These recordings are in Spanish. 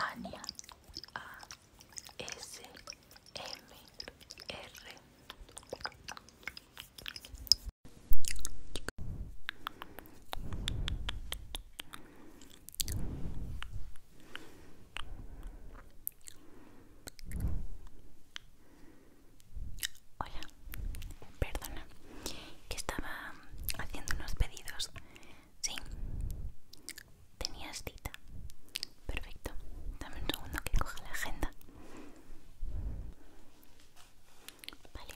Ania A S M R Hola, perdona, que estaba haciendo unos pedidos Sí, tenías cita. Perfecto. Dame un segundo que coja la agenda. Vale,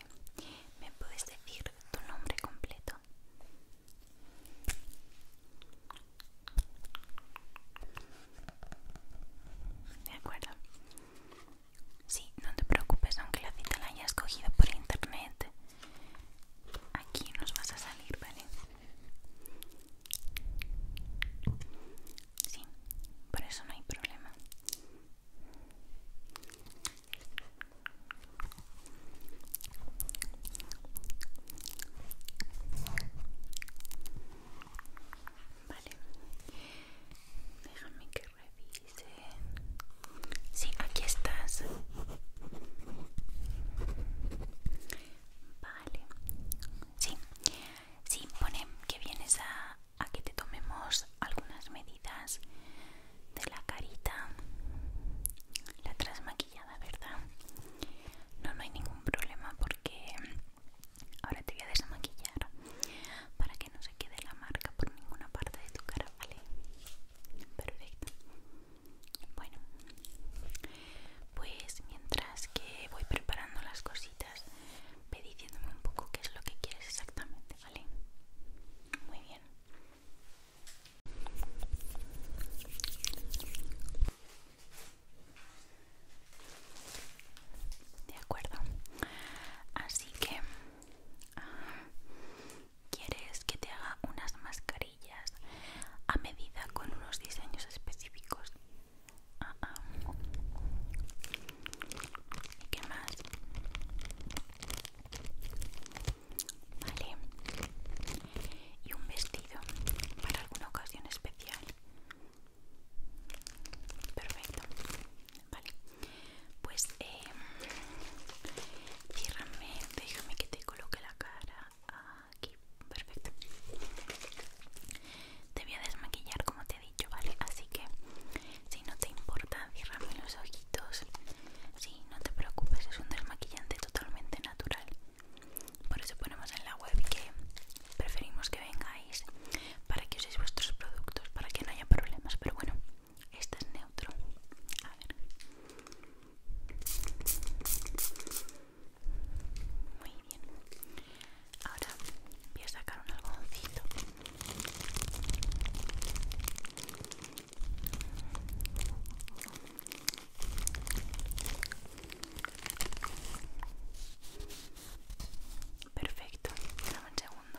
¿me puedes decir tu nombre completo? De acuerdo. Sí, no te preocupes, aunque la cita la hayas cogido por internet, Aquí nos vas a salir, ¿vale? Sí, por eso no hay problema. Vale, déjame que revise. Sí, aquí estás. Vale. Sí, sí, pone que vienes a, a que te tomemos algunas medidas de la carita. La trasmaquillada, ¿verdad? No, no hay ningún problema porque ahora te voy a desmaquillar para que no se quede la marca por ninguna parte de tu cara, ¿vale? Perfecto. Bueno, pues mientras que voy preparando las cositas, ve diciéndome un poco qué es lo que quieres exactamente, ¿vale? Muy bien. De acuerdo. Así que... Ah, quieres que te haga unas mascarillas a medida con unos diseños específicos. Ah, ah. ¿Y qué más? Vale. Y un vestido para alguna ocasión especial. Perfecto. Vale. Pues eh, déjame que te coloque la cara aquí, perfecto. Te voy a desmaquillar como te he dicho, ¿vale? Así que si no te importa, bien los ojitos. Sí, no te preocupes, es un desmaquillante totalmente natural. Por eso ponemos en la web que preferimos que vengáis para que uséis vuestros productos, para que no haya problemas. Pero bueno, este es neutro. A ver. Muy bien. Ahora voy a sacar un algodoncito. Perfecto, dame un segundo.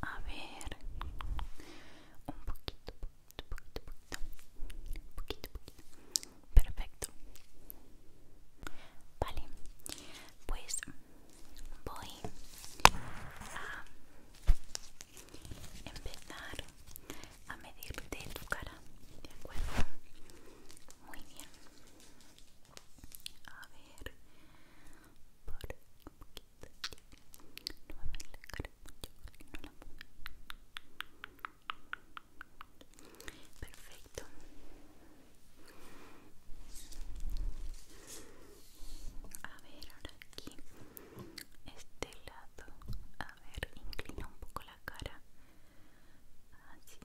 A ver, un poquito, poquito, poquito, poquito, poquito, poquito. Perfecto. Vale, pues voy a empezar a medirte tu cara, ¿de acuerdo? Muy bien. A ver, por un poquito. No me voy a cara mucho no la muevo. Perfecto. A ver, ahora aquí, este lado. A ver, inclina un poco la cara. Así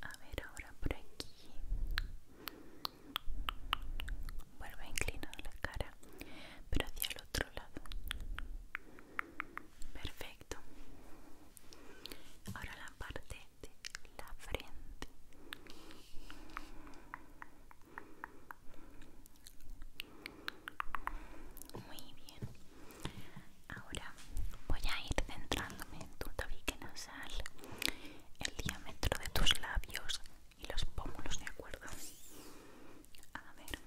a ver, ahora por aquí. Vuelve a inclinar la cara, pero hacia el otro lado. Perfecto. Ahora la parte de la frente. Muy bien. Ahora voy a ir centrándome en tu tabique nasal, el diámetro de tus labios y los pómulos, ¿de acuerdo? A ver.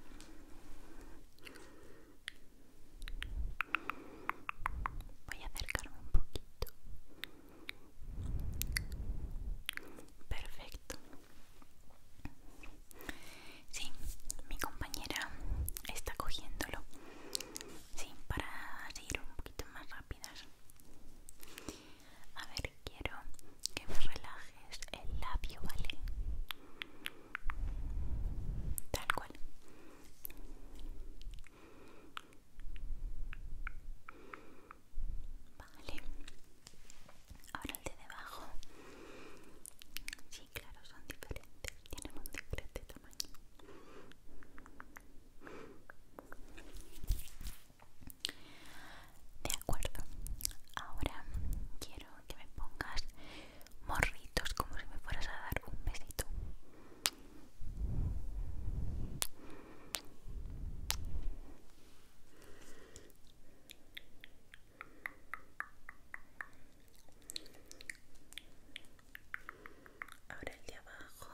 Voy a acercarme un poquito. Perfecto. Sí, mi compañera está cogiéndolo. Sí, para ir un poquito más rápidas. A ver, quiero que me relajes el labio, ¿vale? Tal cual. Vale. Ahora el de debajo. Sí, claro, son diferentes. Tienen un diferente tamaño. De acuerdo. Ahora quiero que me pongas morritos como si me fueras a dar un besito. Ahora el de abajo.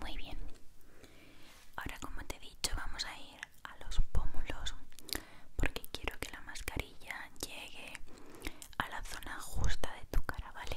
Muy bien. Ahora como te he dicho vamos a ir a los pómulos porque quiero que la mascarilla llegue a la zona justa de tu cara, ¿vale?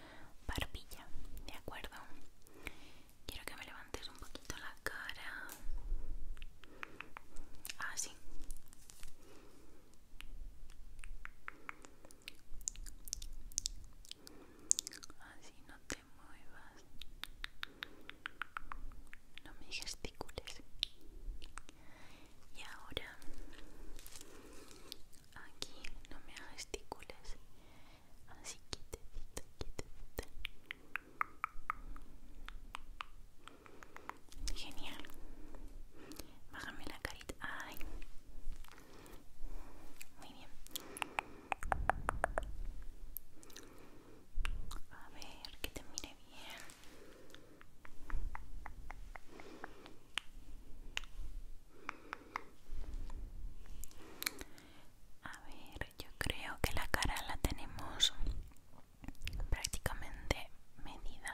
barbilla, ¿de acuerdo? Quiero que me levantes un poquito la cara. Así. Ah, Así no te muevas. No me gesticules. Y ahora aquí, no me gesticules. Así te te Genial. Bájame la carita. Muy bien. A ver, que te mire bien. A ver, yo creo que la cara la tenemos prácticamente medida.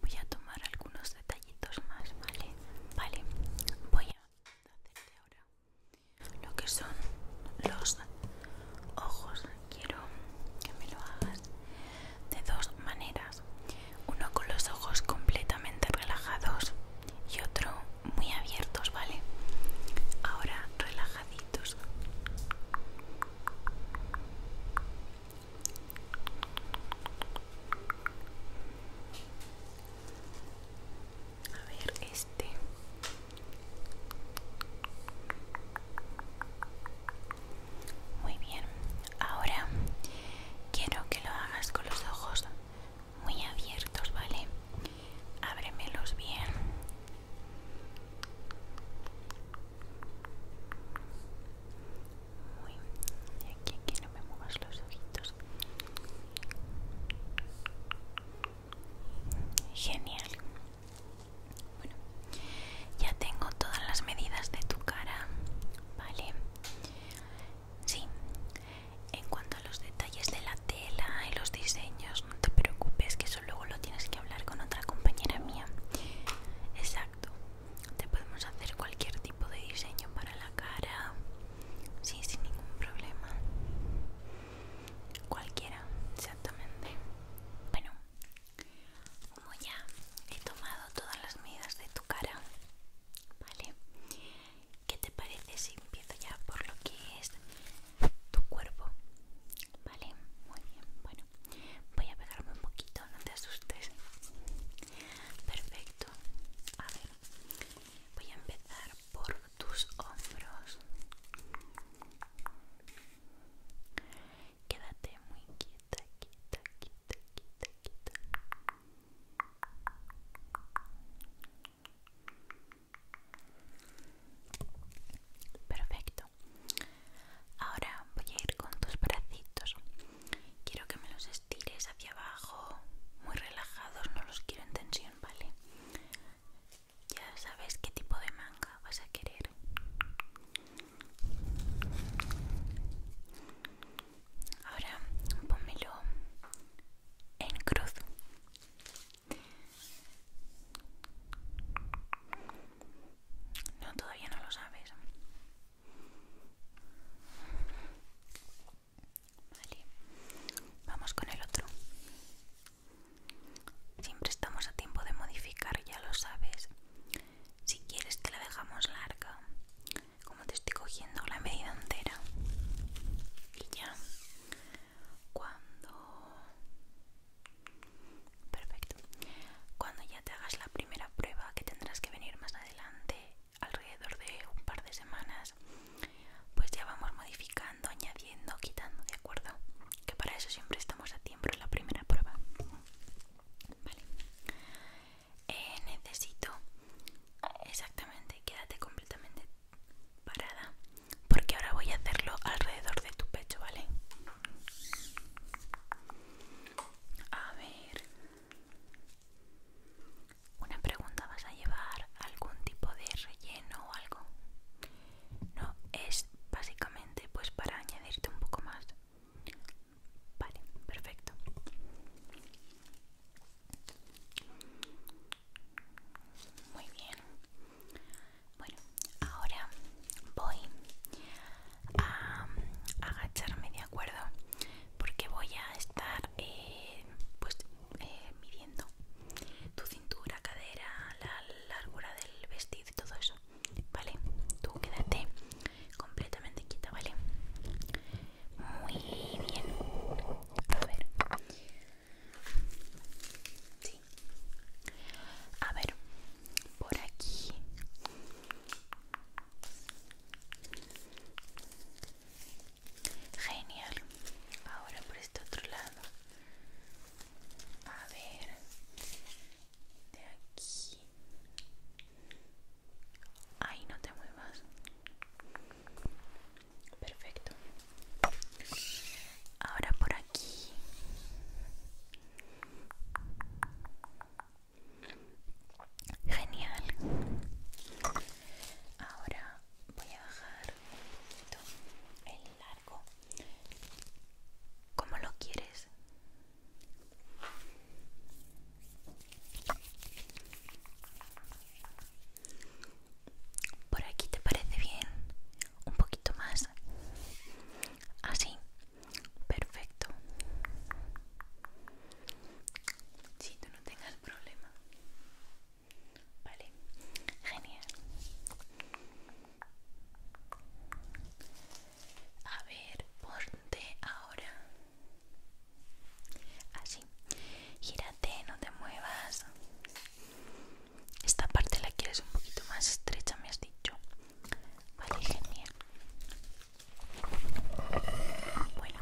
Voy a tomar algunos detallitos más, ¿vale? Vale, voy a hacerte ahora lo que son los ojos. Quiero que me lo hagas de dos maneras uno con los ojos completamente relajados y otro muy abiertos, ¿vale? Ahora relajaditos. A ver, este. Muy bien. Ahora quiero que lo hagas con los ojos muy abiertos, ¿vale? Ábremelos bien. Muy y aquí, aquí no me muevas los ojitos. Genial. Bueno, ya tengo todas las medidas de tu cara, ¿vale? Sí, en cuanto a los detalles de la tela y los diseños, no te preocupes, que eso luego lo tienes que hablar con otra compañera mía. Exacto, te podemos hacer cualquier tipo de diseño para la cara, sí, sin ningún problema. Cualquiera, exactamente. Bueno, como ya he tomado todas las medidas de tu cara, vale, ¿Qué te parece si empiezo ya por lo que es tu cuerpo? Vale, muy bien. Bueno, voy a pegarme un poquito, no te asustes. Perfecto. A ver, voy a empezar por tus hombros. Quédate muy quieta, quieta, quieta, quieta, quieta. Perfecto. Ahora voy a ir con tus bracitos. Quiero que me los estires hacia abajo, muy relajados, no los quiero en tensión, ¿vale? Ya sabes qué tipo de manga vas a querer. Ahora ponmelo en cruz. No, todavía no lo sabes. Vale, vamos con el otro. Siempre estamos a tiempo de modificar, ya lo sabes. Si quieres te la dejamos larga como te estoy cogiendo la medida entera y ya cuando perfecto cuando ya te hagas la primera prueba que tendrás que venir más adelante alrededor de un par de semanas pues ya vamos modificando añadiendo quitando de acuerdo que para eso siempre estamos a tiempo en la primera prueba vale eh, necesito exactamente quédate completamente parada porque ahora voy a hacerlo alrededor de tu pecho vale a ver una pregunta vas a llevar algún tipo de relleno o algo no es básicamente pues para añadirte un poco más Vale, perfecto. Muy bien. Bueno, ahora voy a agacharme, ¿de acuerdo? Porque voy a estar eh, pues, eh, midiendo tu cintura, cadera, la largura del vestido y todo eso. Vale, tú quédate completamente quieta, ¿vale? Muy bien. A ver. A ver. Por aquí. Genial. Ahora por este otro lado. A ver. De aquí. Ahí no te muevas. Perfecto. Ahora por aquí. Genial. Ahora voy a bajar el largo. como lo quieres? Por aquí te parece bien. Un poquito más. Así. Perfecto. Si tú no tengas problema. Vale. Genial. A ver, ponte ahora Así. Gírate, no te muevas. Esta parte la quieres un poquito más estrecha, me has dicho. Vale, genial. Bueno,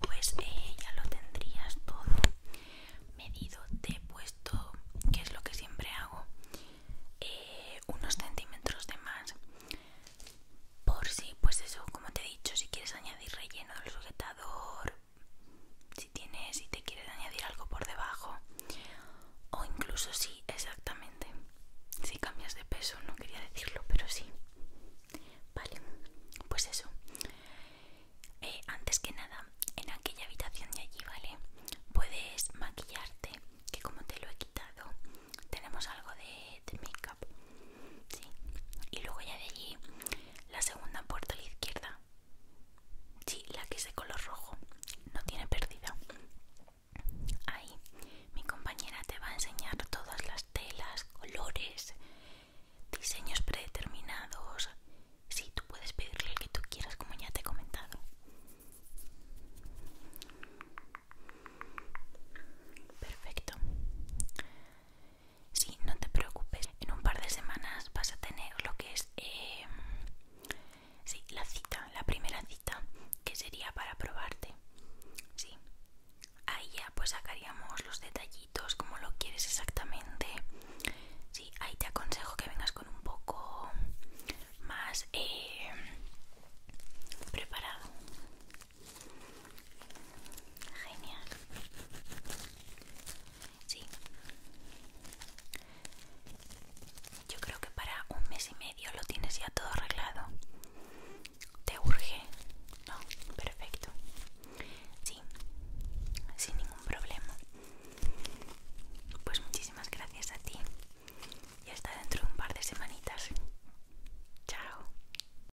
pues eh, ya lo tendrías todo medido. Te he puesto, que es lo que siempre hago, eh, unos centímetros de más por si pues eso como te he dicho si quieres añadir relleno del sujetador si tienes si te quieres añadir algo por debajo o incluso si, exactamente si cambias de peso no quería decirlo pero sí vale pues eso eh, antes que nada en aquella habitación de allí vale puedes maquillarte que como te lo he quitado tenemos algo de, de y luego ya de allí la segunda puerta a la izquierda. Sí, la que es de color rojo. No tiene pérdida. Ahí mi compañera te va a enseñar todas las telas, colores, diseños predeterminados. Sí, tú puedes pedirle el que tú quieras, como ya te he comentado. Perfecto. Sí, no te preocupes. En un par de semanas vas a tener lo que es eh, sí, la cita, la primera cita, que sería para probarte. Sí. Ahí ya pues sacaríamos los detallitos, como lo quieres exactamente. Sí, ahí te aconsejo que vengas con un poco más eh, preparado. Genial. Sí. Yo creo que para un mes y medio lo tienes ya todo arreglado. ¿Te urge? No, perfecto. Sí, sin ningún problema. Pues muchísimas gracias a ti. Y hasta dentro de un par de semanitas. Chao.